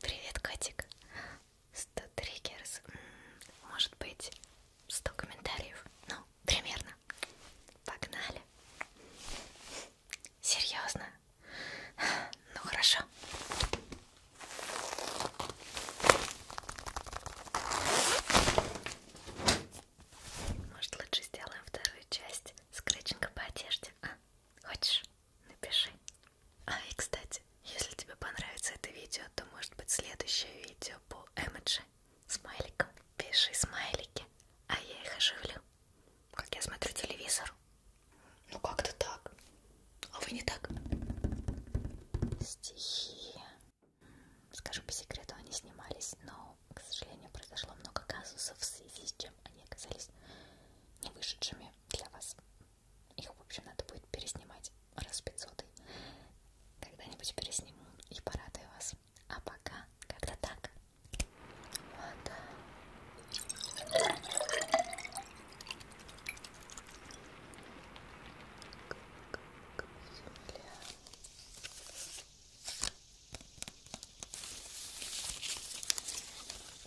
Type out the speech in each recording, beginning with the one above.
Привет, котик. 100 триггерс. Может быть, 100 комментариев. Ну, примерно. Погнали. Серьезно? Ну хорошо. Может, лучше сделаем вторую часть скретчинга по одежде? А? Хочешь? Напиши. А и кстати, если тебе понравится это видео, то может быть следующее видео по эмоджи смайликом. Пиши смайлики, а я их оживлю. Как я смотрю телевизор. Ну как-то так. А вы не так. Стихи. Скажу по секрету, они снимались, но, к сожалению, произошло много казусов, в связи с чем они оказались не вышедшими для вас. Их, в общем, надо будет переснимать раз в 500. Когда-нибудь пересниму и порадую вас. А пока как-то так. Вот. Земля.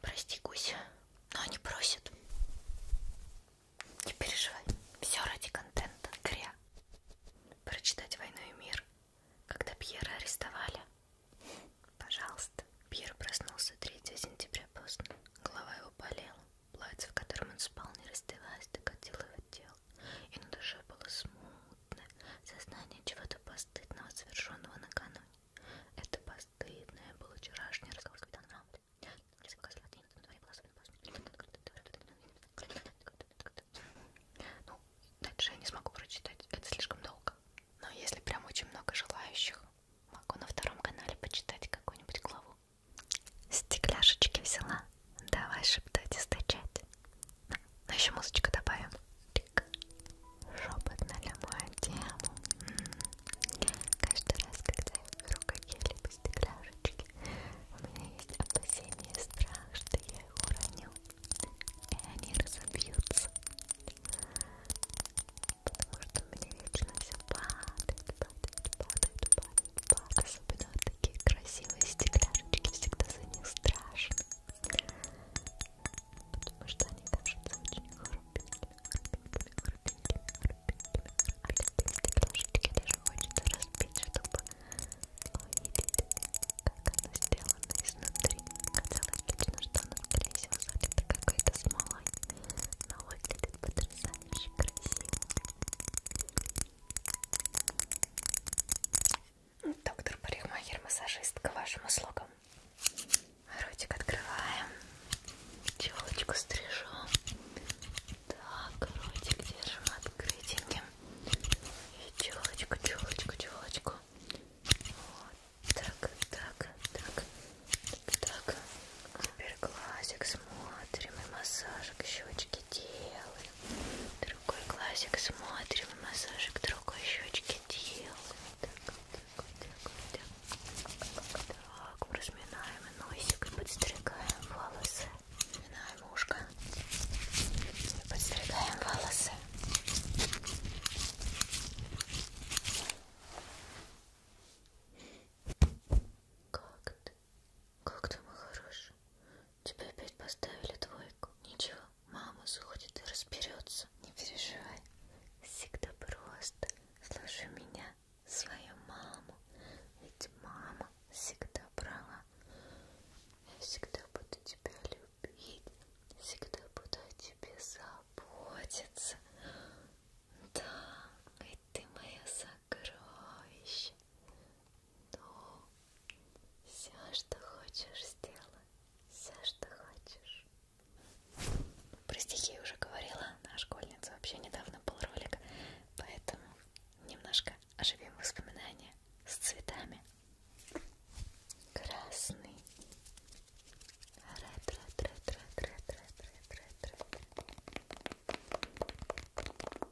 Прости, Гуся, но они просят. Не переживай, все ради контента. Кря. Прочитать «Войну и мир», когда Пьера арестовали. Пожалуйста. Пьер проснулся 3 сентября поздно. Голова его болела. Платье, в котором он спал, не раздеваясь, докатило его тело, и на душе было смутное сознание чего-то постыдного, совершенного накануне. Это постыдное было вчерашнее разговор с капитаном Рамбле. Ну, дальше я не смогу прочитать, это слишком долго. Но если прям очень много желающих, могу на втором канале почитать какую-нибудь главу. Стекляшечки взяла. Давай шептать и стучать. Ну еще музычку добавим. Шепот на любую тему. М -м. Каждый раз, когда я беру какие-либо стекляшечки, у меня есть опасение и страх, что я их уроню. И они разобьются. Потому что мне вечно все падает, падает, падает, падает. Пак, особенно вот такие красивые стекляшечки, всегда за них страшно. Потому что они кажутся очень хрупенькими, хрупенькими, хрупенькими, хрупенькими. А такие стекляшечки даже хочется разбить, чтобы увидеть, как оно сделано изнутри. Хотелось лично, что оно, скорее всего, залито какой-то смолой, но выглядит потрясающе красиво. Доктор парикмахер, массажист к вашим услугам. Ротик открываем. Челочку стрижем. Так, ротик держим открытеньким. И челочку, челочку, челочку. Вот так, так, так, так, так. Теперь глазик смотрим и массажик щечки делаем. Другой глазик смотрим и массажик другой щечки делаем. Так, так, так, так. Так, разминаем носик и подстригаем волосы. Разминаем ушко и подстригаем волосы. Как ты? Как ты мой хороший. Тебе опять поставили двойку. Ничего, мама сходит и разберется. Не переживай. Всегда просто. Слушай меня, свою маму. Ведь мама всегда права. Я всегда буду тебя любить. Всегда буду о тебе заботиться. Да, ведь ты моя самая сокровищ. Ну, все, что хочешь, сделай. Все, что хочешь. Про стихи уже говорила, на школьнице вообще недавно был ролик, поэтому немножко оживим воспоминания с цветами. Красный. Ред, ред, ред, ред, ред, ред, ред, ред, ред.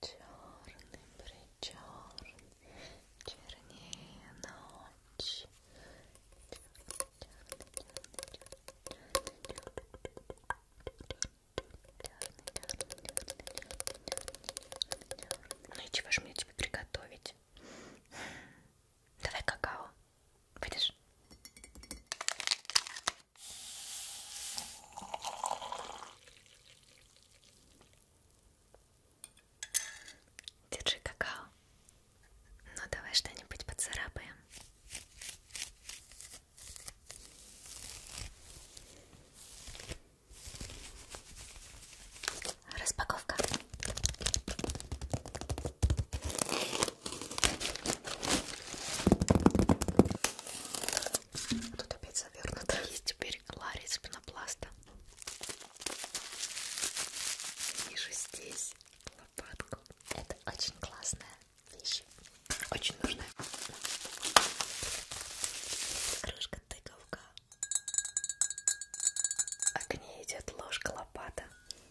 Черный причерный, чернее ночь. Ну и чего же мне тебе приготовить? Давай какао. Будешь? Держи какао. Ну давай что-нибудь поцарапаем. Распаковка. Тут опять завернуто. Есть теперь лари из пенопласта. Вижу здесь лопатку. Это очень классная вещь. Очень нужная. Крышка тыковка. А к ней идет ложка лопата.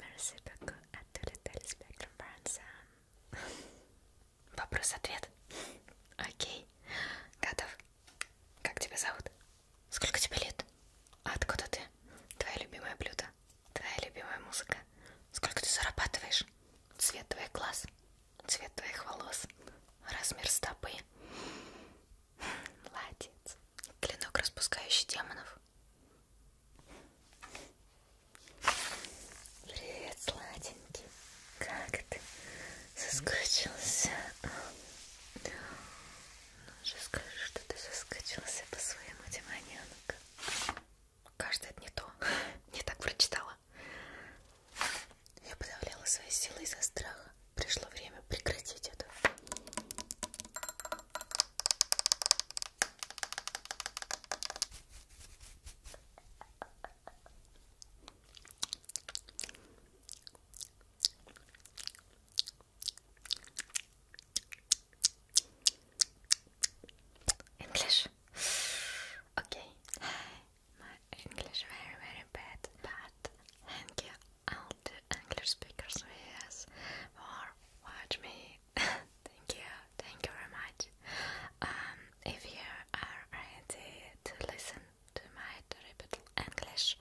Merci beaucoup à tous les téléspectateurs Вопрос-ответ. Окей. Готов. Как тебя зовут? Сколько тебе лет? А откуда ты? Твое любимое блюдо? Твоя любимая музыка? Сколько ты зарабатываешь? Цвет твоих глаз? Цвет твоих волос? Размер стопы? Хм, молодец. Клинок, распускающий демонов. Привет, сладенький. Как ты соскучился? Ну же скажи, что ты соскучился по своему демоненку. Кажется, это не то. Не так прочитала. Я подавляла свои силы из-за страха. Пришло время прекратить это. English. Okay. My English very very bad, but thank you all the English speakers who yes, for watch me thank you, thank you very much. Um, if you are ready to listen to my terrible English,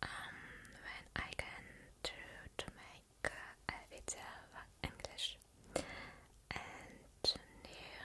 when um, I can do to make a video of English and new.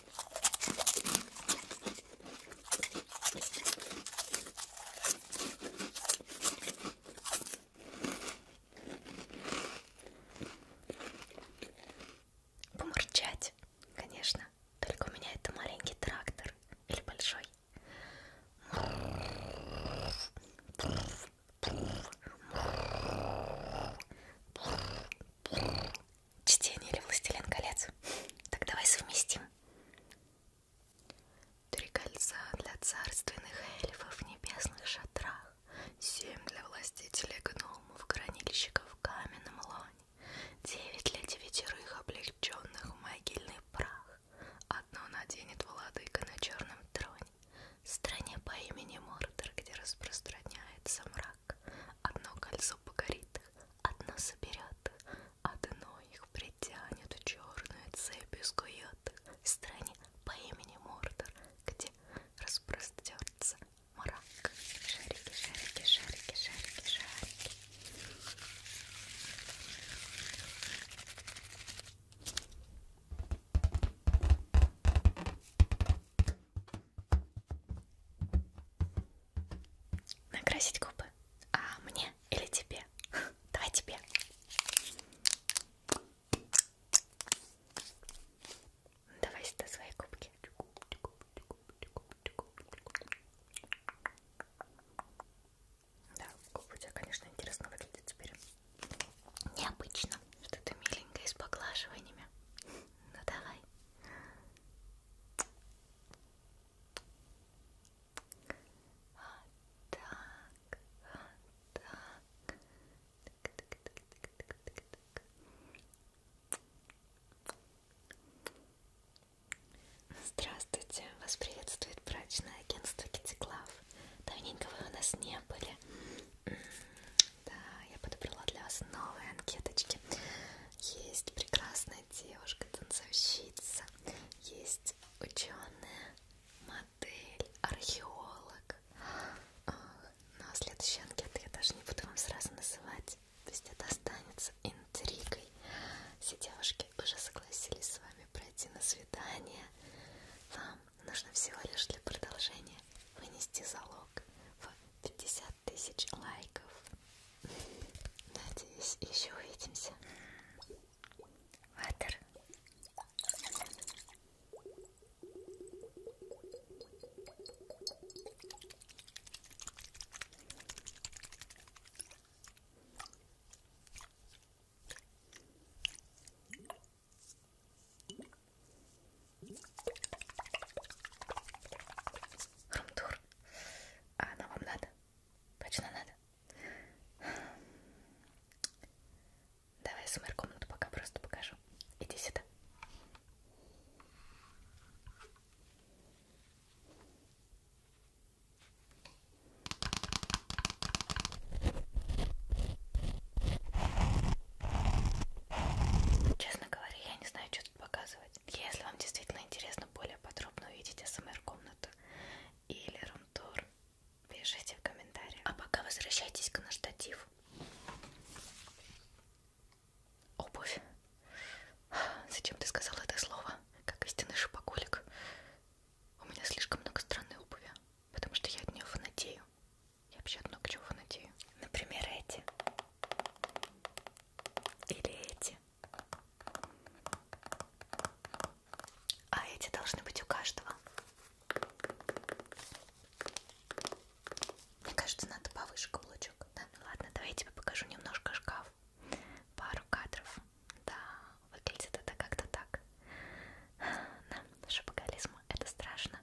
Помурчать, конечно. Только у меня это маленький трактор или большой. Чтение или Властелин колец? Так давай совместим. Три кольца для царственных эльфов в небесных шатрах, семь для властителей гномов, хранильщиков в каменном лоне, девять для девятерых облегченных в могильный прах, одно наденет владыка на черном троне, стране по имени Мордор, где распространяется мрак так. Одно кольцо погорит, одно соберет, одно их притянет в черную цепь и скует. В стране по имени Мордор, где распростерется мрак. Шарики, шарики, шарики, шарики, шарики. Накрасить губы? А мне или тебе? Давай тебе. Давай сюда свои губки. Да, губы у тебя, конечно, интересно выглядят теперь. Необычно, что ты миленькая с поглаживаниями. Ну давай. Вот так, вот так. Здравствуйте, вас приветствует брачное агентство Китиклав. Давненько вы у нас не были. Да, я подобрала для вас новые анкеточки. Есть прекрасная девушка-танцовщица, есть ученая, модель, археолог. А, Но ну, а следующие анкеты я даже не буду вам сразу называть. Пусть это останется интригой. Все девушки уже согласились с вами пройти на свидание. Вам нужно всего лишь для продолжения вынести залог в 50 тысяч лайков. Надеюсь, еще увидимся. Ватер. Румтур. А она вам надо? Точно надо? Давай я СМР комнату пока просто покажу. Иди сюда. Честно говоря, я не знаю, что тут показывать. Если вам действительно интересно более подробно увидеть СМР-комнату или рум-тур, пишите в комментариях. А пока возвращайтесь к на штатив. Обувь. Зачем ты сказал это слово? Как истинный шипоголик. У меня слишком много странной обуви, потому что я от нее фанатею. Я вообще-то много чего надею. Например, эти. Или эти. А эти должны быть у каждого. Мне кажется, надо повыше каблучок. Да, ну ладно, давай я тебе покажу немножко шкаф. Пару кадров. Да, выглядит это как-то так. Нам шапоголизм это страшно.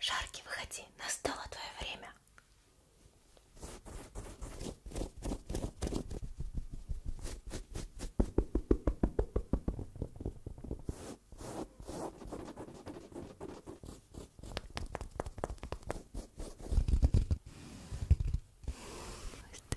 Шарки, выходи, настало твое время. Закрыть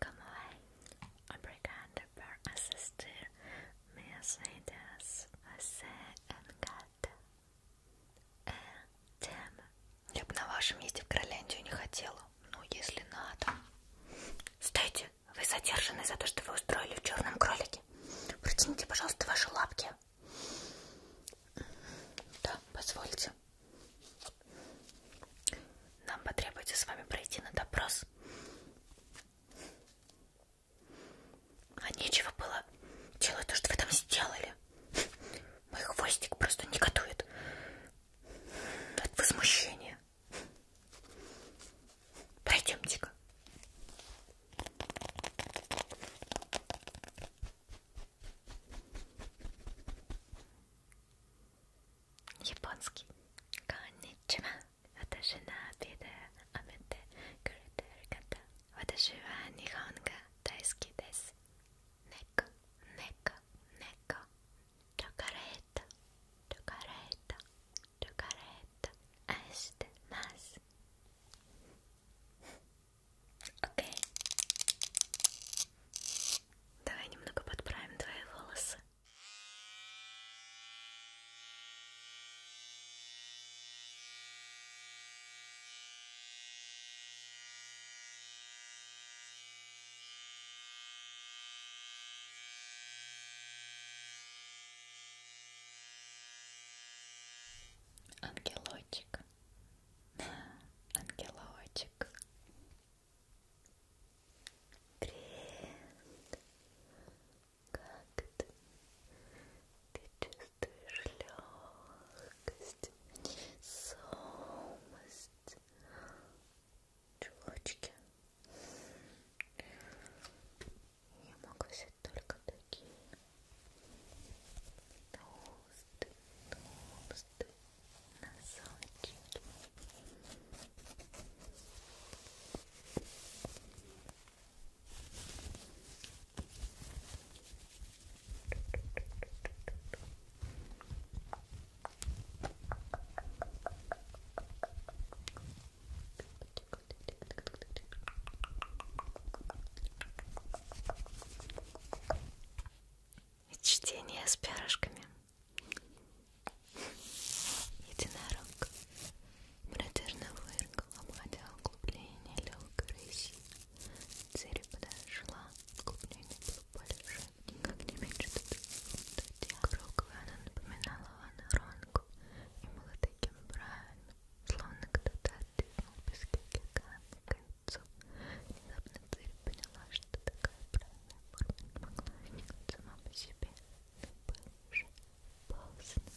Como é? Obrigada por assistir minhas vidas. Você é gata. É тема. Я бы на вашем месте в Кроляндию не хотела. Ну, если надо. Стойте, вы задержаны за то, что вы устроили в черном кролике. Протяните, пожалуйста, ваши лапки. Да, позвольте. Нам потребуется с вами пройти на допрос. А нечего было делать то, что вы там сделали. Мой хвостик просто негодует от возмущения. Пройдемте-ка. Японский. Конничева. Ваташи на обеда амете курете регата. Ваташи ва нихонга дайски десу. Неко, неко, неко. Чокарета, чокарета, чокарета. Аиште нас. Окей. Давай немного подправим твои волосы. Ангелочек, ангелочек, Привет! Как ты? Ты чувствуешь легкость, сонность, чулочки? Я могу взять только такие толстые, толстые, носочки. Чтение с перышками. Единорог протяжно выркал, обходя углубление легкой рыси. Цель подошла, углубление было больше, никак не меньше тут. Круглая она напоминала ваноронку и была таким правильным, словно кто-то оттянул пески к концу. Внезапно цель поняла, что такая правильная оформить сама по себе было уже поздно.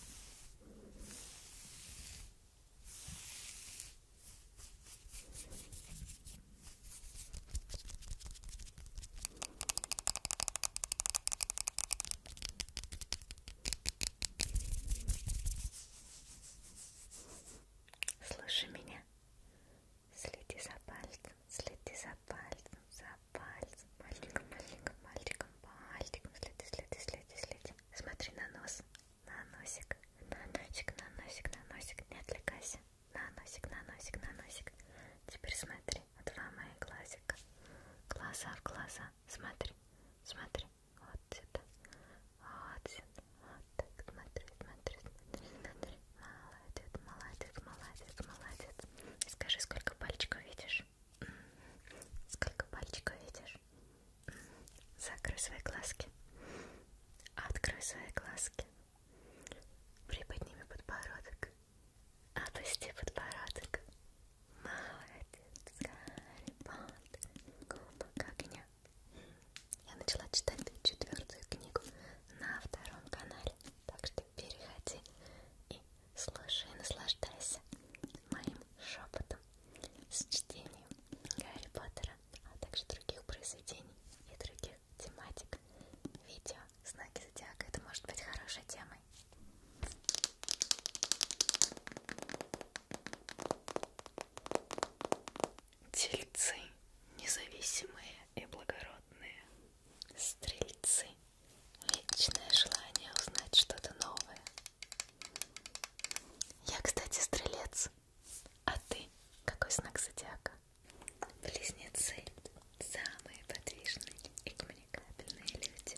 Слушай меня. Следи за пальцем, следи за пальцем, за пальцем. Мальчиком, мальчиком, мальчиком, пальчиком. Следи, следи, следи, следи. Смотри на нос, на носик, на носик, на носик, на носик. Не отвлекайся. На носик, на носик, на носик. Теперь смотри. Два моих глазика. Глаза в глаза. Смотри, смотри. Вот сюда. Вот сюда. Вот так. Смотри, смотри, смотри, смотри. Молодец, молодец, молодец, молодец. Скажи, сколько пальчиков видишь? Сколько пальчиков видишь? Закрой свои глазки. Открой свои глазки. Приподними подбородок. Опусти подбородок. Молодец, Гарри Поттер. Кубок огня. Я начала читать четвертую книгу на втором канале, так что переходи и слушай, наслаждайся моим шепотом с чтением Гарри Поттера, а также других произведений и других тематик. Видео «Знаки зодиака» — это может быть хорошей темой. Тельцы независимые и благородные. Стрельцы. Вечное желание узнать что-то новое. Я, кстати, стрелец. А ты? Какой знак зодиака? Близнецы. Самые подвижные и коммуникабельные люди.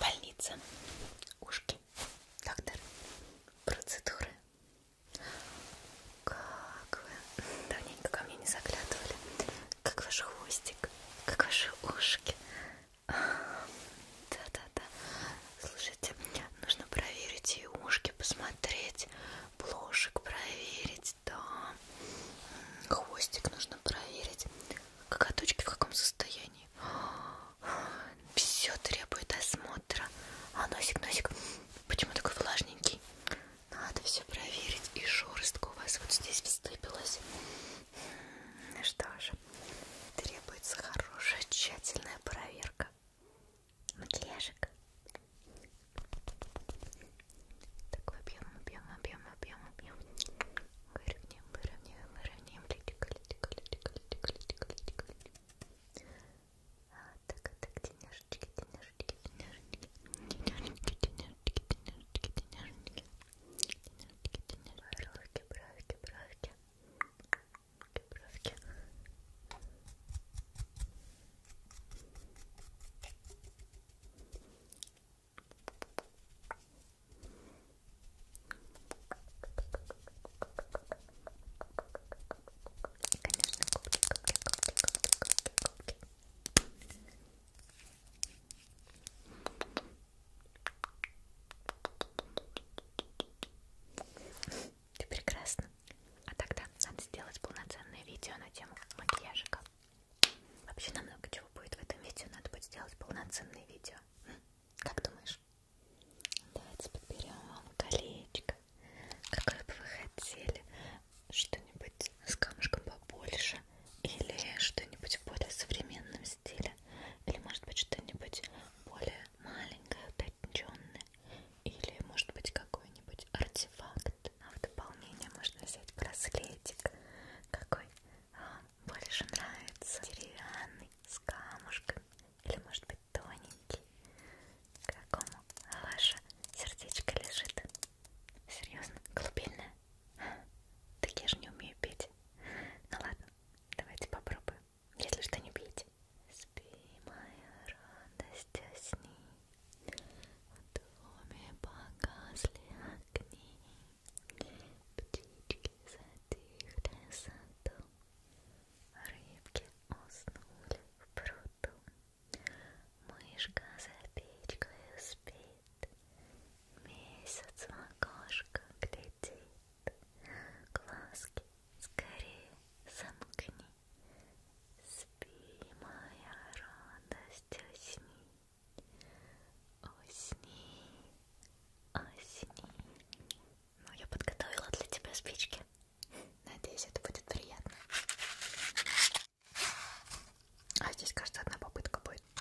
Больница, ушки, доктор, процедуры. Как вы давненько ко мне не заглядывали. Как ваш хвостик, как ваши ушки. Да-да-да. Слушайте, нужно проверить и ушки, посмотреть, блошек проверить, да. Хвостик нужно проверить. Коготочки в каком состоянии? Все требует осмотра. А носик, носик, почему такой влажненький? Надо все проверить. И шерстка у вас вот здесь выступилась. Ну что ж, требуется хорошая тщательная проверка макияжик. Такой объем, объем, объем, объем, объем. Выровняем, выровняем, выровняем. Литика, литика, литика, литика, литика, литика, литика. А, так, а так, денежечки, денежечки, денежечки, денежечки, денежечки, денежечки, денежечки бровки, бровки, бровки. Бровки. Конечно, кубки, кубки, кубки, кубки, кубки, кубки. Ты прекрасна. А тогда надо сделать полноценное видео на тему макияжика. Вообще нам много чего будет в этом видео. Надо будет сделать полноценное видео. Как думаешь? Давайте подберем вам колечко. Какое бы вы хотели? Что-нибудь с камушком побольше или что-нибудь в более современном стиле, или может быть что-нибудь более маленькое, утонченное, или может быть какой-нибудь артефакт. А в дополнение можно взять браслетик, какой вам больше нравится, деревянный, с камушками, или может быть тоненький, к какому ваше сердечко лежит. Серьезно, колыбельная? Так я же не умею петь. Ну ладно, Давайте попробуем. Если что, не пейте. Спи, моя радость, сни. В доме погасли огни. Птички затихли саду. Рыбки уснули в пруду. Мышка за печкой спит летит, месяц в окошко глядит, глазки скорее замкни, спи, моя радость, усни, усни, усни. Ну, я подготовила для тебя спички. Надеюсь, это будет приятно. А здесь, кажется, одна попытка будет.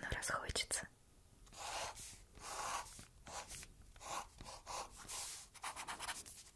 Ну, раз хочется.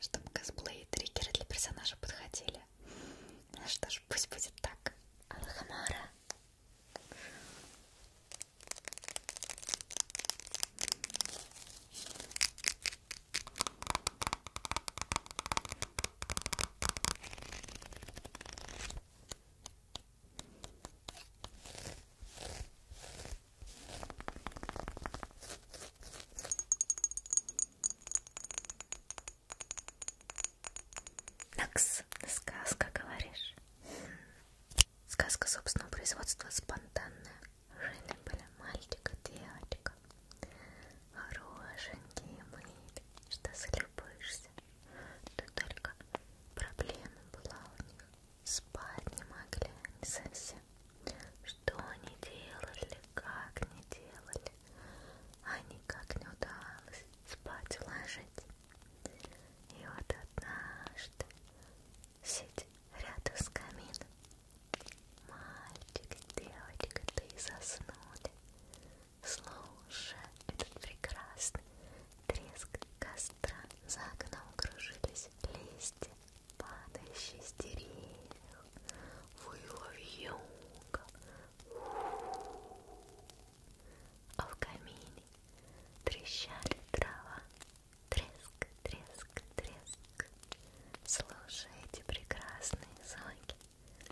Чтобы косплей и триггеры для персонажа подходили. Ну что ж, пусть будет так. Алхамара. Накс, сказка, говоришь? Сказка собственного производства спонтанная. Жили были мальчик и девочка. Хорошенькие мыли, что залюбуешься. Тут только проблема была у них спать не могли, не совсем. Что они делали, как не делали, а никак не удавалось спать уложить. И вот однажды, сидя рядом с камином, мальчик и девочка, ты заснули, слушая этот прекрасный треск костра, за окном кружились листья падающий с деревьев, выла вьюга, а в камине трещали трава, треск, треск, треск. Слушая эти прекрасные звуки,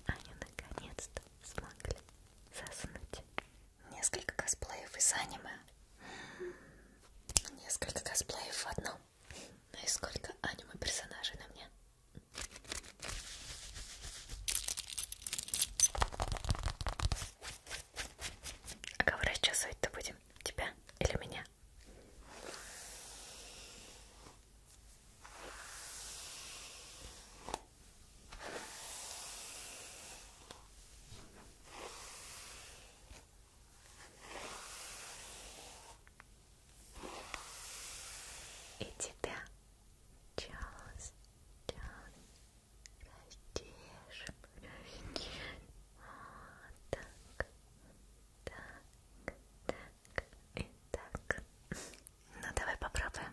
они наконец-то смогли заснуть. Несколько косплеев из аниме. Несколько косплеев в одном. Ну и сколько аниме персонажей на мне? А кого расчесывать-то будем? Тебя или меня? И тебя, Чарльз, растешь, вот так, так, так и так. Ну давай попробуем.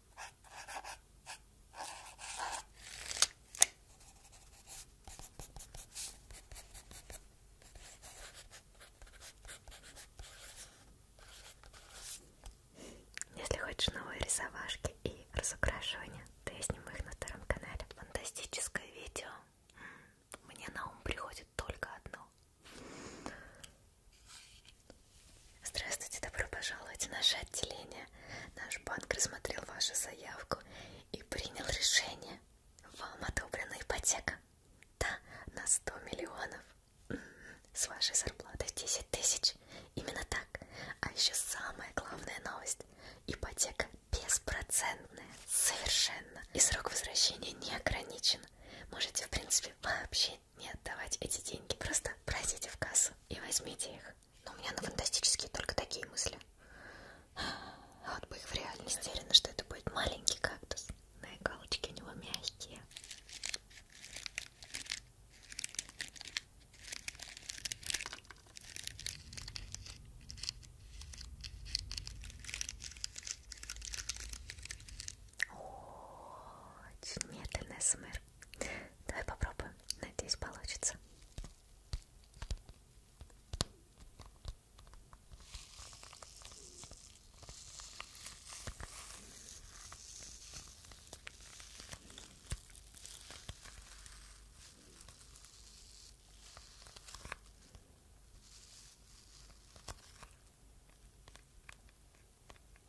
Если хочешь новые рисовашки и разукрашивания, то я сниму их на втором канале. Фантастическое видео. Мне на ум приходит только одно. Здравствуйте, добро пожаловать в наше отделение. Наш банк рассмотрел вашу заявку и принял решение. Вам одобрена ипотека. Да, на 100 миллионов. С вашей зарплатой 10 тысяч. Именно так. А еще самая главная новость. Ипотека беспроцентная. Совершенно. И срок возвращения не ограничен. Можете, в принципе, вообще не отдавать эти деньги. Просто пройдите в кассу и возьмите их. Но у меня на фантастические только такие мысли. А вот бы их в реальности. Уверена, что это будет маленький кактус. На иголочке у него мягкие. Очень медленный СМР. Давай попробуем. Надеюсь, получится. Ой,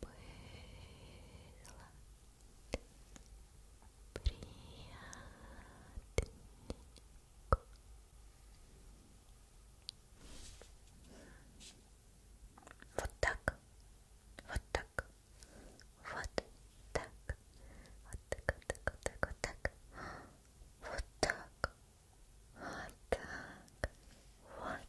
приятненько вот так, вот так, вот так, вот так, вот так, вот так, вот так, вот так, вот так, вот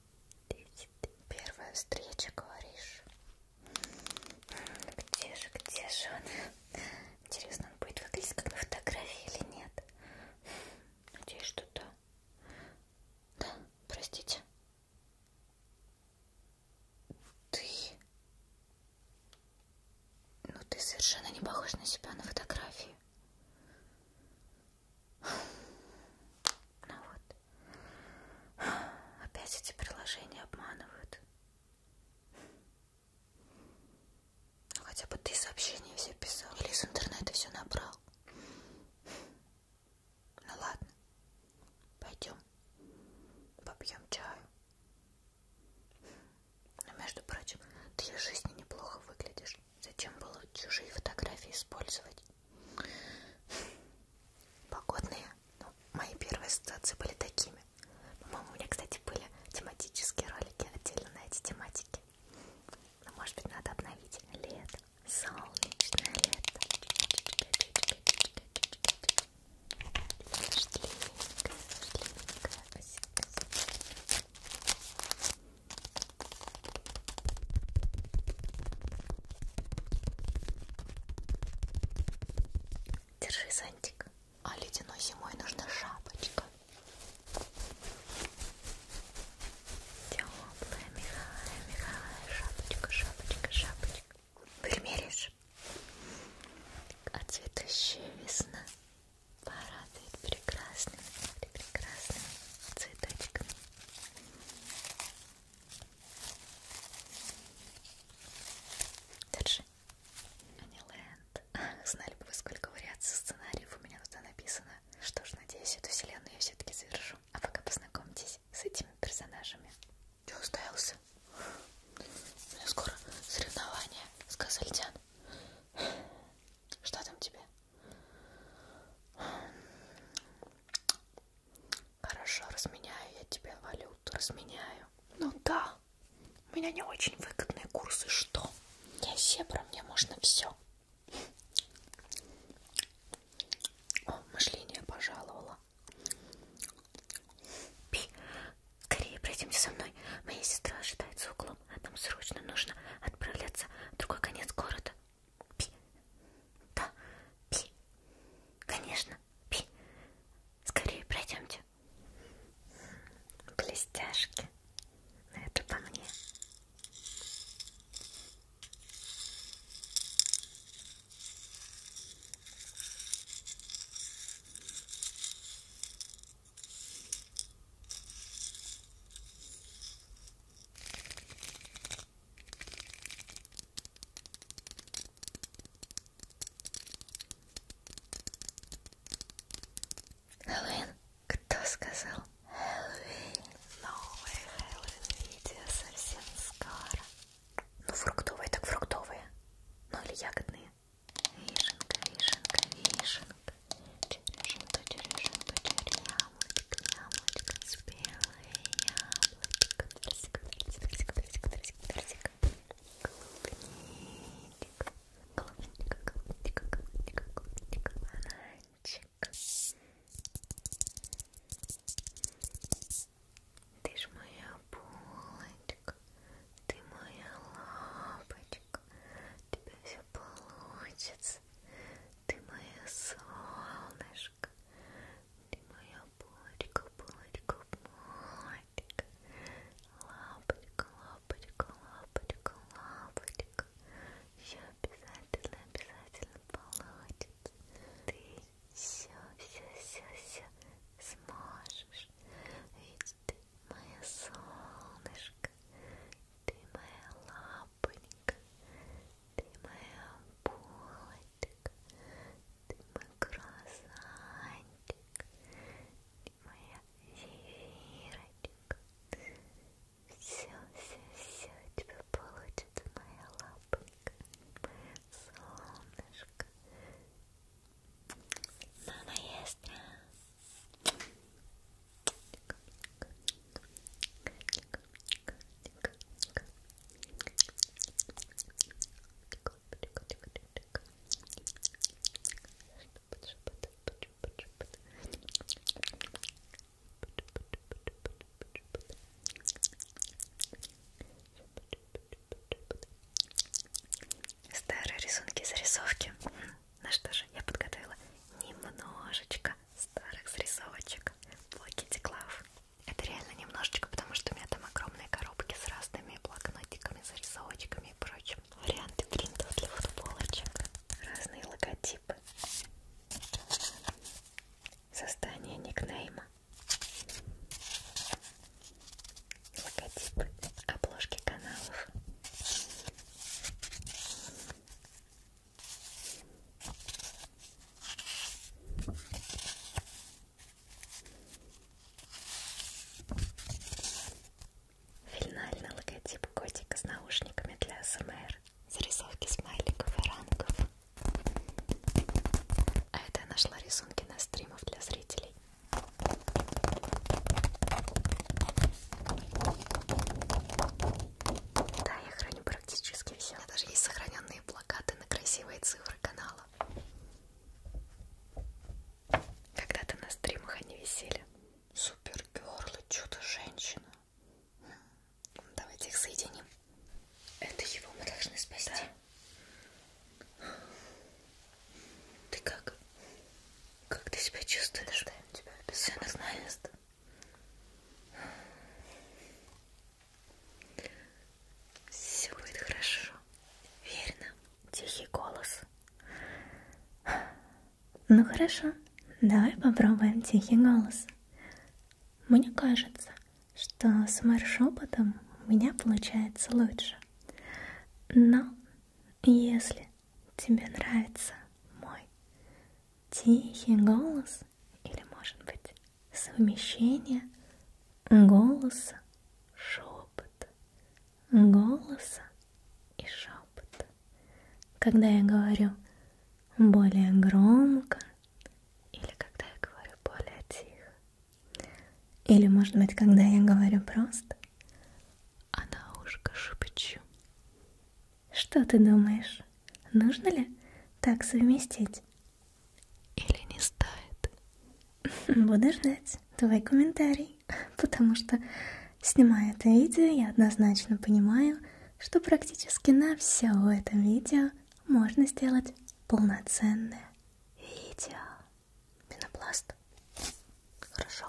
Первая встреча, говоришь? Где же, где же он? Интересно, он будет выглядеть как на фотографии или нет? Надеюсь, что да. Да, простите. Ты... Ну, ты совершенно не похож на себя на фотографии. Ну вот, опять эти приложения обманывают. Ну, хотя бы ты сообщения все писал или из интернета все набрал. Ну ладно, пойдем попьем чаю. Но, ну, между прочим, ты в жизни неплохо выглядишь. Зачем было чужие фотографии использовать? Погодные. Ну, мои первые ассоциации были такими. По-моему, у меня, кстати, были тематические ролики отдельно на эти тематики. Но, может быть, надо обновить. Лето. Солнечное лето. Дождливенькая, дождливенькая осенняя. Держи зонтик. А ледяной зимой нужна шапочка. Теплая, мягкая, мягкая шапочка, шапочка, шапочка. Примеришь? А цветущая весна порадует прекрасными, прекрасными цветочками. Держи. Аниленд. Знали бы вы, сколько вариаций сценариев у меня тут написано. Что ж, надеюсь, эту вселенную я все-таки завершу. А пока познакомьтесь с этими персонажами. Че уставился? У меня скоро соревнования с Козельтян. Что там тебе? Хорошо, разменяю я тебе валюту, разменяю. Ну да, у меня не очень выгодные курсы, что? Я зебра, мне можно все. О, мышление пожаловала. Пи, скорее пройдемте со мной. Моя сестра ожидает за углом. Нам срочно нужно отправляться в другой конец города. Пи. Да, пи. Конечно, пи. Скорее пройдемте. Блестяшки. Но это по мне. Хэллоуин? Кто сказал? Хэллоуин. Новое Хэллоуин видео совсем скоро. Ну фруктовые так фруктовые. Ну или ягодные. Вишенка, вишенка, вишенка. Черешенка, черешенка, черешенка яблочко, яблочко, спелое яблочко, персик, персик, персик, персик, персик, клубничек, клубничка, клубничка, клубничка, клубничка, бананчик. Ты ж моя булочка, ты моя лапочка, тебя все все получится. Ты моя солнышко, ты моя булочка, булочка, булочка, лапочка, лапочка, лапочка, лапочка. Все обязательно, обязательно получится. Ты все, все, все, все сможешь. Ведь ты моя солнышко, ты моя лапонька, ты моя булочка, ты мой круассанчик, ты моя зефирочка. Все, все, все у тебя получится, моя лапонька, моя солнышко. Мама есть. Старые рисунки, зарисовки. Ну что же, я подготовила немножечко старых срисовочек Blackity Glove. Это реально немножечко, потому что у меня там огромные коробки с разными блокнотиками, зарисовочками и прочим. Варианты принтов для футболочек, разные логотипы, создание никнейма, логотипы, обложки каналов. Финальный логотип котика с наушниками для СМР. Зарисовки смайликов и ранков. А это я нашла рисунки на стримов для зрителей. Да, я храню про практически все. У меня даже есть сохраненные плакаты на красивые цифры канала. Когда-то на стримах они висели. Супергерлы, чудо-женщина. Хм, давайте их соединим. Это его мы должны спасти. Да. Ты как? Как ты себя чувствуешь? Да, тебя Все нормально. Все будет хорошо. Верно. Тихий голос. Ну хорошо, давай попробуем тихий голос. Мне кажется, что с маршопотом у меня получается лучше. Но если тебе нравится мой тихий голос или, может быть, совмещение голоса, шепота, голоса и шепота. Когда я говорю более громко или когда я говорю более тихо. Или, может быть, когда я говорю просто, а на ушко шепчу. Что ты думаешь, нужно ли так совместить? Или не стоит? Буду ждать твой комментарий, потому что, снимая это видео, я однозначно понимаю, что практически на все в этом видео можно сделать полноценное видео. Пенопласт. Хорошо.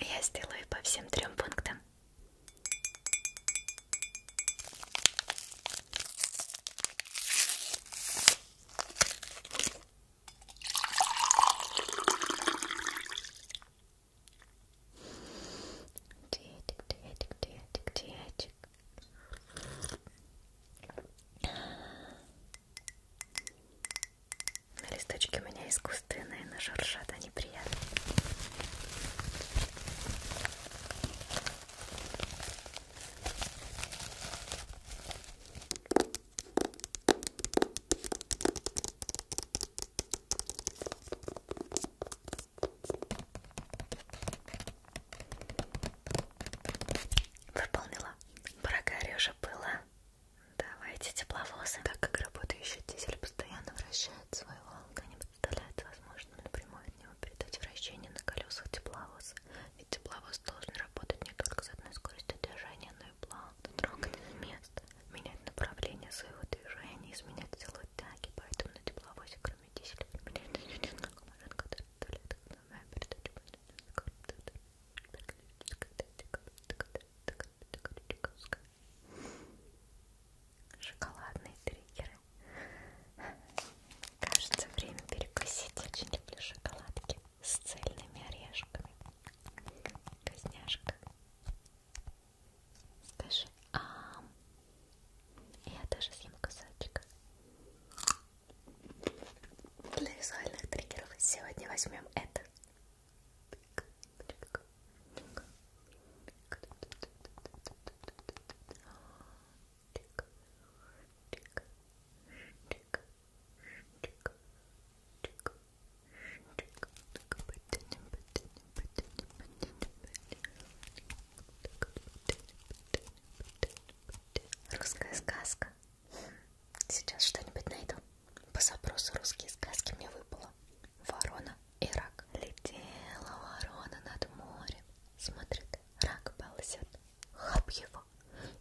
Я сделаю по всем трем пунктам. Диетик, диетик, диетик, диетик. На листочке у меня искусственные, но шуршат они приятные. Выполнила. Пора уже было. Давайте тепловозы. Так как работающий дизель постоянно вращает свою волну, не представляет возможным напрямую от него передать вращение на колесах тепловоза. Ведь тепловоз должен работать не только с одной скоростью движения, водную плавно, трогать место, менять направление своего движения, изменять силу тяги, поэтому на тепловозе, кроме дизеля, применяется несколько машин, которые доставляют экономию передачу Шоколадные триггеры. Кажется, время перекусить. Очень люблю шоколадки с цельными орешками. Козняшка. Скажи, а я даже съем кусочек. Для визуальных триггеров сегодня возьмем это. Русская сказка. Сейчас что-нибудь найду. По запросу русские сказки мне выпало. Ворона и рак. Летела ворона над морем. Смотрит, рак ползет. Хап его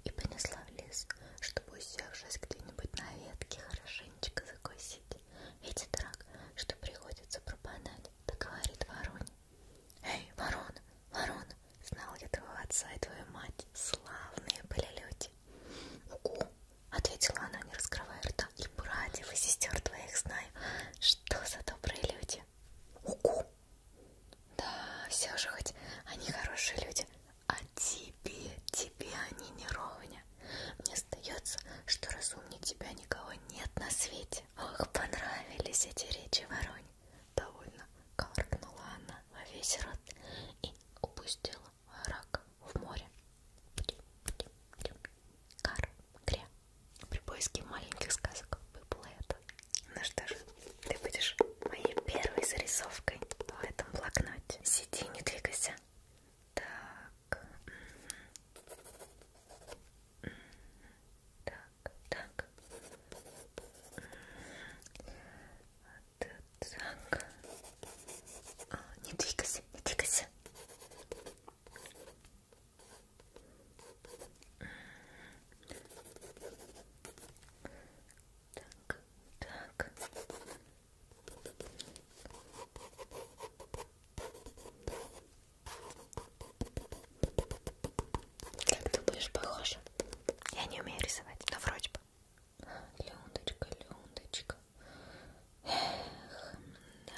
и понесла в лес, чтобы, усевшись где-нибудь на ветке, хорошенечко закусить. Видит рак, что приходится пропадать, да говорит вороне. «Эй, ворон, ворон, знал я твоего отца и твою мать, славные были люди!» «Угу!» — ответила она, не раскрывая рта. «И братьев, и сестер твоих знаю, что за добрые люди!» «Угу!» «Да, все же хоть они хорошие люди, а тебе, тебе они не ровня. Мне остается, что разумнее тебя никого нет на свете. Ох, понравились эти речи воронь. Довольно каркнула она во весь рот и упустила рак в море. Кар, кря. При поиске маленьких сказок выпало это. Ну что же, ты будешь моей первой зарисовкой в этом блокноте. Сиди, не двигайся. Так. Так, так. Так. А, не двигайся, не двигайся. Так, так, как думаешь, похоже? Я не умею рисовать, но вроде бы. Леундочка, Леундочка. Эх, да.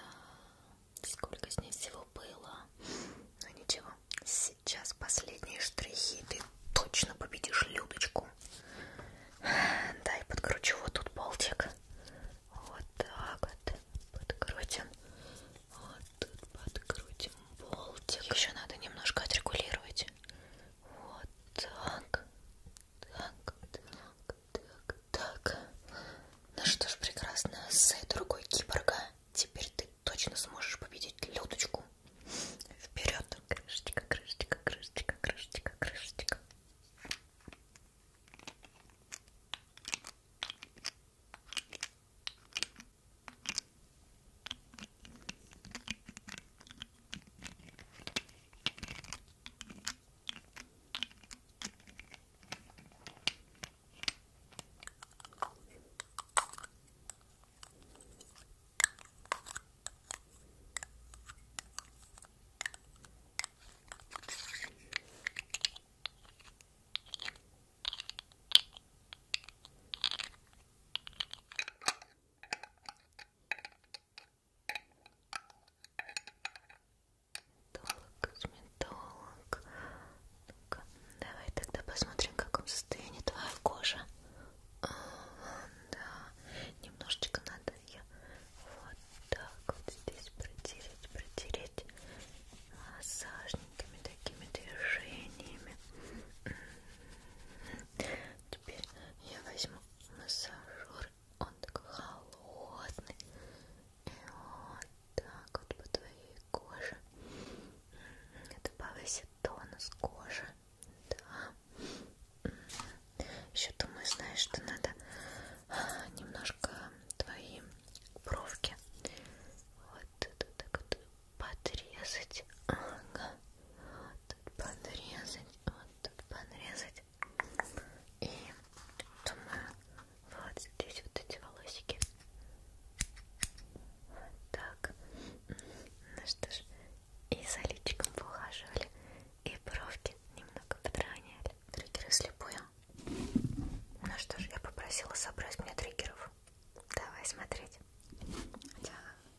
Сколько с ней всего было. Но ну, ничего. Сейчас последние штрихи. Ты точно победишь Людочку подгружу. Да, и подкручу вот тут болтик. Вот так вот подкрутим. Вот тут подкрутим болтик. Еще надо немножко отрегулировать. Вот так. Так, так, так, так. Ну что ж, прекрасно. С другой киборга теперь ты точно сможешь победить Людочку. Вперед, крышечка, крышечка, крышечка, крышечка, крышечка. Косметолог. Ну давай тогда посмотрим, в каком состоянии твоя кожа да, немножечко надо ее вот так вот здесь протереть, протереть массажниками такими движениями. М-м-м. Теперь я возьму массажер, он такой холодный, и вот так вот по твоей коже. М-м, это повысит тонус кожи. Да. Еще думаю, знаешь, что надо немножко твои бровки вот тут так вот подрезать. Ага. Вот тут подрезать, вот тут подрезать. И думаю, вот здесь вот эти волосики. Вот так. Ну что ж, и за личиком поухаживали, и бровки немного подровняли. Триггеры слепую. Ну что ж, я попросила собрать мне триггеров. Давай смотреть. Хотя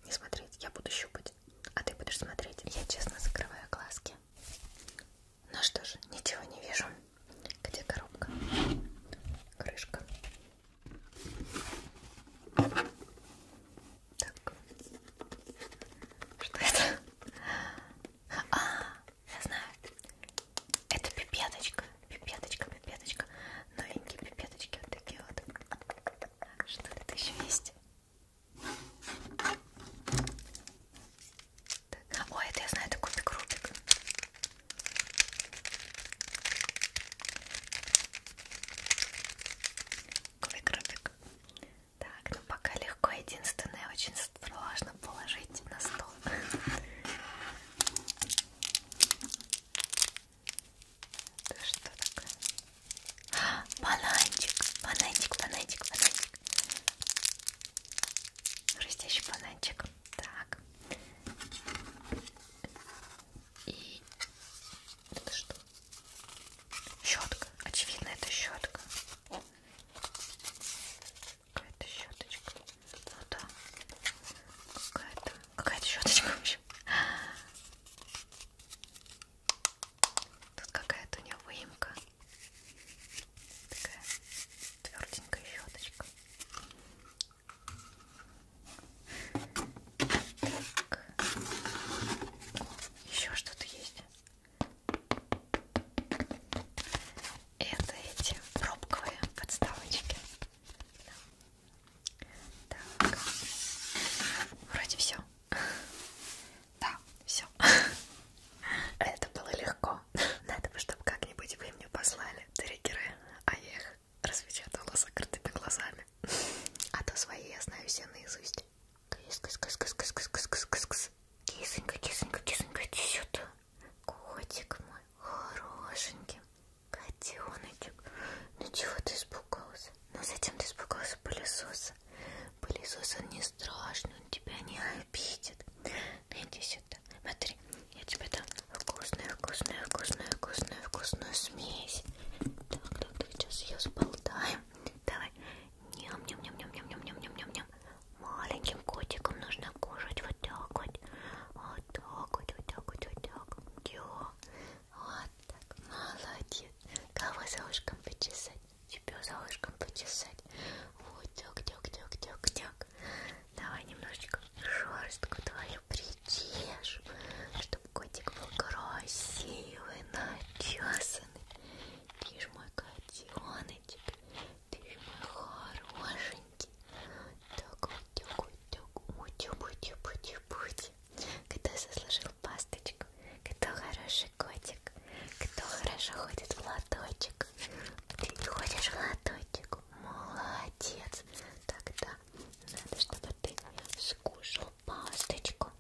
не смотреть, я буду щупать, а ты будешь смотреть. Я честно закрываю глазки. Ну что ж, ничего не вижу. Где коробка? Крышка. Так. Что это? А, я знаю. Это пипеточка. Пипеточка, пипеточка. Новенькие пипеточки вот такие вот. Что это еще есть? Так. Ой, это я знаю, это кубик-рубик выкруток. Так, ну пока легко, единственное, очень сложно положить на стол. Это что такое? Бананчик, бананчик, бананчик, бананчик. Растящий бананчик. Так. И это что? Щетка. Очевидно, это щетка. Какая-то щеточка. Ну да. Какая-то. Какая-то щеточка вообще. Тут какая-то у нее выемка. Такая тверденькая щеточка. Еще что-то есть. Это эти пробковые подставочки. Так. Вроде все. Да, все. Это было легко. Надо бы, чтобы как-нибудь вы мне послали триггеры, а я их распечатала закрытыми глазами. А то свои я знаю все наизусть. Кисонька, кисонька, кисонька, иди сюда. Котик мой, хорошенький. Котеночек. Ну чего ты испугался? Ну зачем ты испугался пылесоса? Пылесос, он не страшный, он тебя не обидит. Ну иди сюда. Смотри, я тебе дам вкусную, вкусную, вкусную, вкусную, вкусную смесь. Так, так, так, сейчас ее сболтаем. Давай. Ням, ням, ням, ням, ням, ням, ням, ням, ням, ням. Маленьким котиком нужно кушать вот так вот. Вот так вот, вот так вот, вот так. Йо. Вот так. Молодец. Кого за ушком почесать? Тебя за ушком почесать. Вот так, так, так, так, так. Давай немножечко шерстку твою придешь, чтобы Котик был красивый, начесанный. Ты ж мой котеночек, ты ж мой хорошенький. Так, утюг, утюг, утюг, утюг, утюг, утюг. Кто заслужил пасточку, кто хороший котик, кто хорошо ходит в лоточек. Ты ходишь в лоточек, молодец. Тогда надо, чтобы ты скушал пасточку.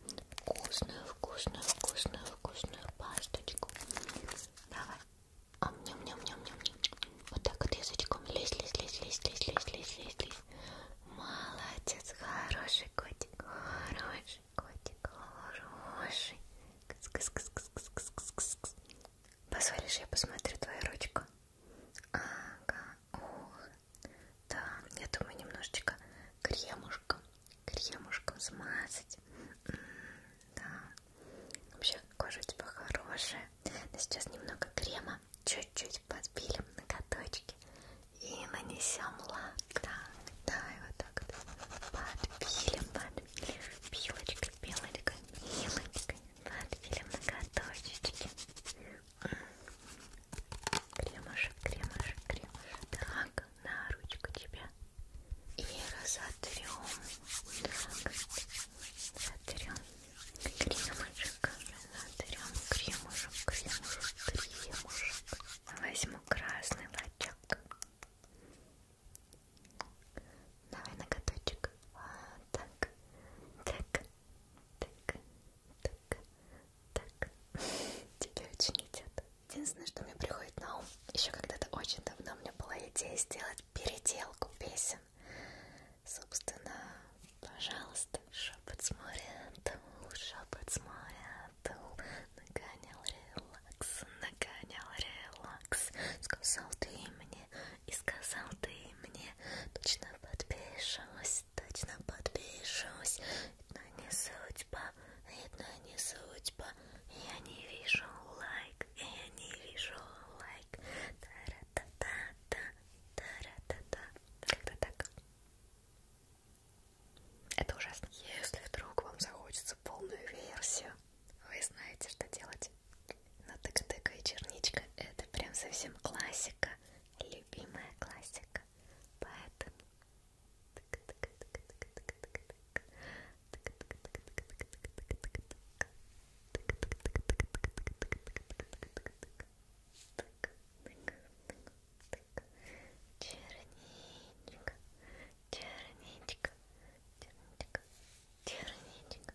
Вкусную, вкусную, вкусную, вкусную пасточку. Давай. Ам, ням, ням, ням, ням, ням. Вот так вот язычком. Лезь, лезь, лезь, лезь, лезь, лезь, лезь, лезь, лезь. Молодец, хороший котик, хороший котик, хороший. Кс -кс -кс -кс -кс -кс -кс -кс -кс. Позволишь, я посмотрю твою ручку? Ага, ух, да, я думаю немножечко кремушком, кремушком смазать. М -м да. Вообще кожа у тебя хорошая. Но сейчас немного крема, чуть-чуть подпилим ноготочки и нанесем лак. Да, да, и вот так вот подпилим, подпилим. Пилочкой, пилочкой, пилочкой подпилим ноготочечки. Кремушек, кремушек, кремушек. Так, на ручку тебя. И разотрем. Так, сотрем. Кремушек, разотрем. Кремушек, кремушек, кремушек. Возьму красный лачок. Давай ноготочек. А, так, так, так, так, так. Тебе очень идет. Единственное, что мне приходит на ум, еще когда-то очень давно у меня была идея сделать переделку песен. Собственно, пожалуйста, шепот с моря, тул, шепот с моря, тул, нагонял релакс, нагонял релакс, сказал ты мне и сказал ты мне, точно подпишусь, точно подпишусь. Но не судьба, видно не судьба. Я не вижу лайк, я не вижу лайк. Та-ра-та-та-та, та-ра-та-та. Как-то так. Это ужасно. Если вдруг вам захочется полную версию, вы знаете, что делать. Но тык-тык и черничка это прям совсем классика. Любимая классика поэтому черничка, черничка, черничка, черничка, черничка.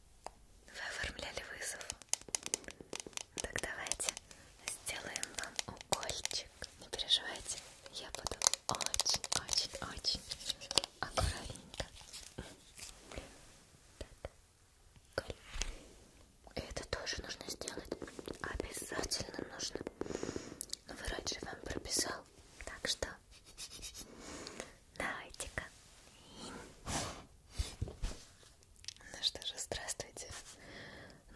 Вы оформляли вызов? Так давайте сделаем вам укольчик. Не переживайте, я буду очень-очень-очень аккуратненько. Так, уколь. И это тоже нужно сделать. Обязательно нужно. Но ну, врач же вам прописал. Так что Давайте-ка. Ну что же, здравствуйте.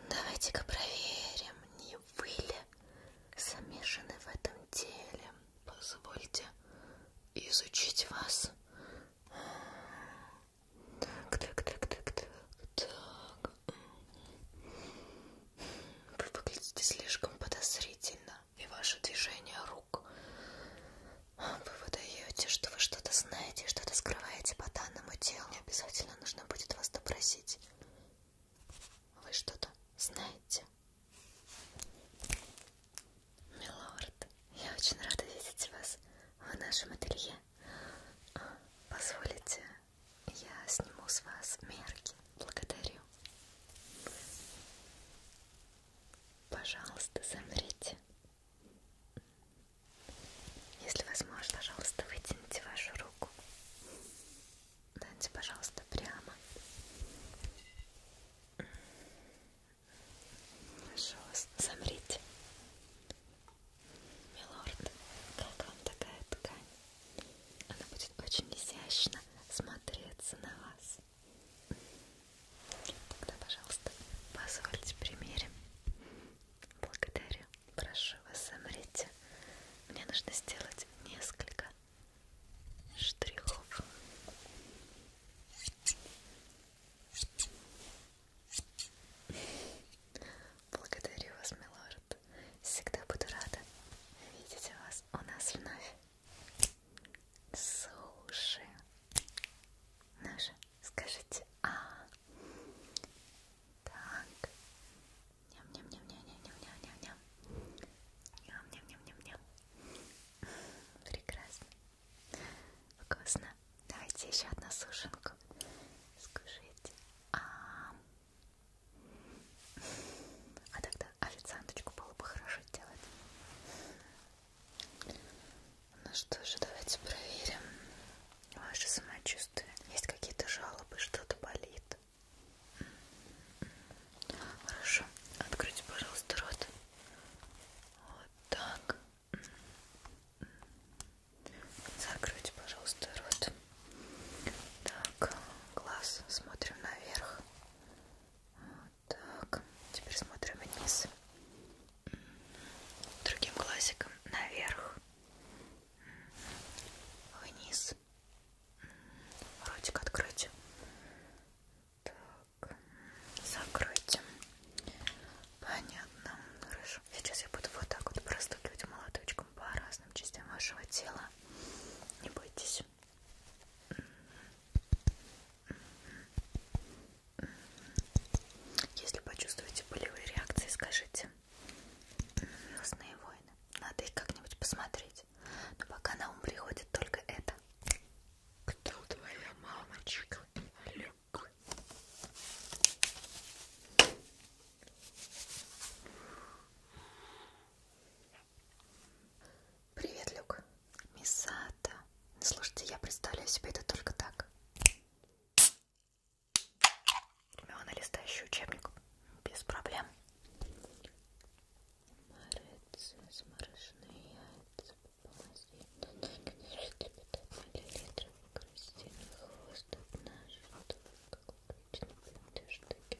Давайте-ка проверим, не вы ли замешаны в этом деле. Позвольте изучить вас. Так, так, так, так, так, так. Вы выглядите слишком подозрительно. И ваше движение рук вы выдаете, что вы что-то знаете, что-то скрываете по данному делу. Мне обязательно нужно будет вас допросить. Вы что-то знаете? Милорд, я очень рада видеть вас в нашем ателье. Позволите, я сниму с вас мерки. Благодарю. Пожалуйста, замрите. Если возможно, пожалуйста, вытяните вашу руку. Дайте, пожалуйста, прямо. Хорошо, замрите. Милорд, как вам такая ткань? Она будет очень изящно смотреться на вас. Тогда, пожалуйста, позвольте примерим. Благодарю. Прошу вас, замрите. Мне нужно сделать несколько штрихов. Благодарю вас, милорд. Всегда буду рада видеть вас у нас вновь. Суши. Ну же, скажите А. Так. Ням-ням-ням-ням-ням-ням-ням-ням. Ням-ням-ням-ням-ням. Прекрасно. Вкусно. Давайте еще одну сушенку. Скушайте. А, а тогда официанточку было бы хорошо делать. Ну что же, давайте проверим ваше самочувствие. Есть какие-то жалобы, что-то болит? Хорошо. Откройте, пожалуйста, рот. Вот так. Закройте, пожалуйста, рот. Так, глаз смотрим наверх. Вот так, теперь смотрим вниз. Другим глазиком наверх. Вниз. Ротик откройте. Так, закройте. Понятно. Хорошо. Сейчас я буду вот так вот простукивать молоточком по разным частям вашего тела. Не бойтесь. Если почувствуете болевые реакции, скажите. Лесные войны. Надо их как-нибудь посмотреть. Но пока на ум приходит только это. Кто твоя мамочка? Олег. Привет, Люк. Мисата. Ну, слушайте, я представляю себе это только так. Ремиона, листающий учебник. Без проблем. Морец, замороженные яйца, хвост, одна штука, как обычно, две штуки,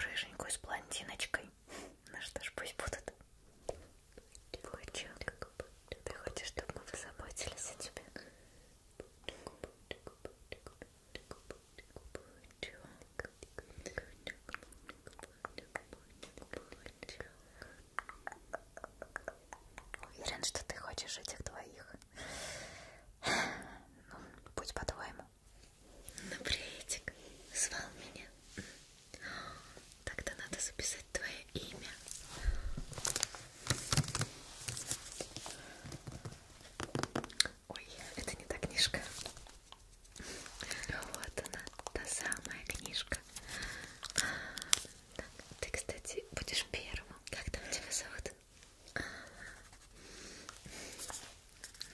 Рыженькую с блондиночкой. Ну что ж, пусть будут. Ты хочешь, чтобы мы позаботились о тебе? Уверен, что ты хочешь этих двоих. Ну, будь по-твоему. Ну, приветик, звал меня. Тогда надо записать твое имя. Ой, это не та книжка. Вот она, та самая книжка. А, ты, кстати, будешь первым. Как там тебя зовут?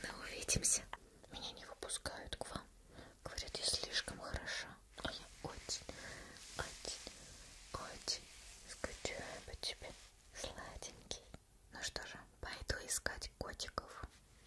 Ну, увидимся. Меня не выпускают к вам. Говорят, я слишком хороша. А я очень, очень, очень скучаю по тебе, сладенький. Ну что же, пойду искать котиков.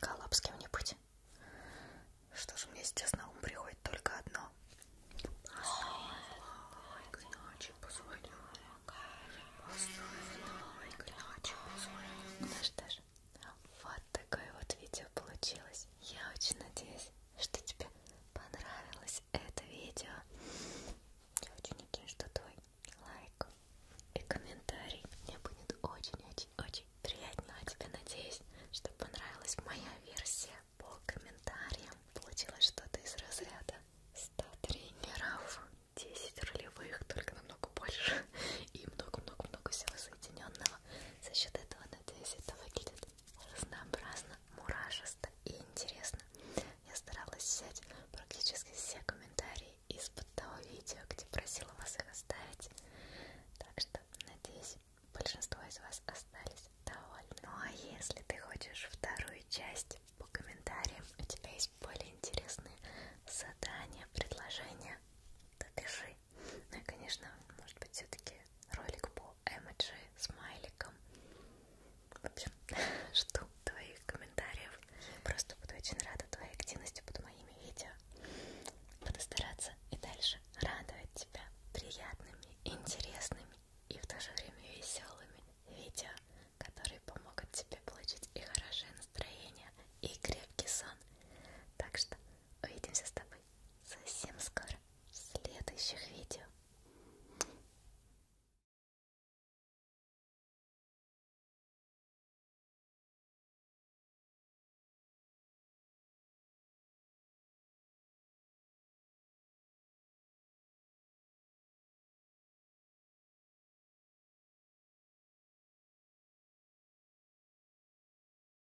Коллапс с кем-нибудь. Что же мне сейчас на ум приходит только одно. Ну что ж, вот такое вот видео получилось. Я очень надеюсь, что тебе понравилось это видео. Я очень надеюсь, что твой лайк и комментарий мне будет очень-очень-очень приятно. А тебе надеюсь, что понравилась моя версия по комментариям. Получилось что-то из разряда 100 тренеров, 10 ролевых, только намного больше, и много-много-много всего соединенного. За счет этого, надеюсь, это выглядит разнообразно, мурашисто и интересно. Я старалась взять практически все комментарии из-под того видео, где просила вас их оставить. Так что, надеюсь, большинство из вас остались довольны. Ну а если ты хочешь вторую часть по комментариям, у тебя есть более интересные задания, предложения, то пиши. Ну и, конечно, может быть, все-таки ролик по эмоджи с смайликом. В общем, жду твоих комментариев. Просто буду очень рада твоей активности под моими видео. Буду стараться и дальше радовать тебя приятными, интересными и в то же время веселыми видео, которые помогут тебе получить и хорошее настроение, и крепкий сон. Так что увидимся с тобой совсем скоро в следующих видео.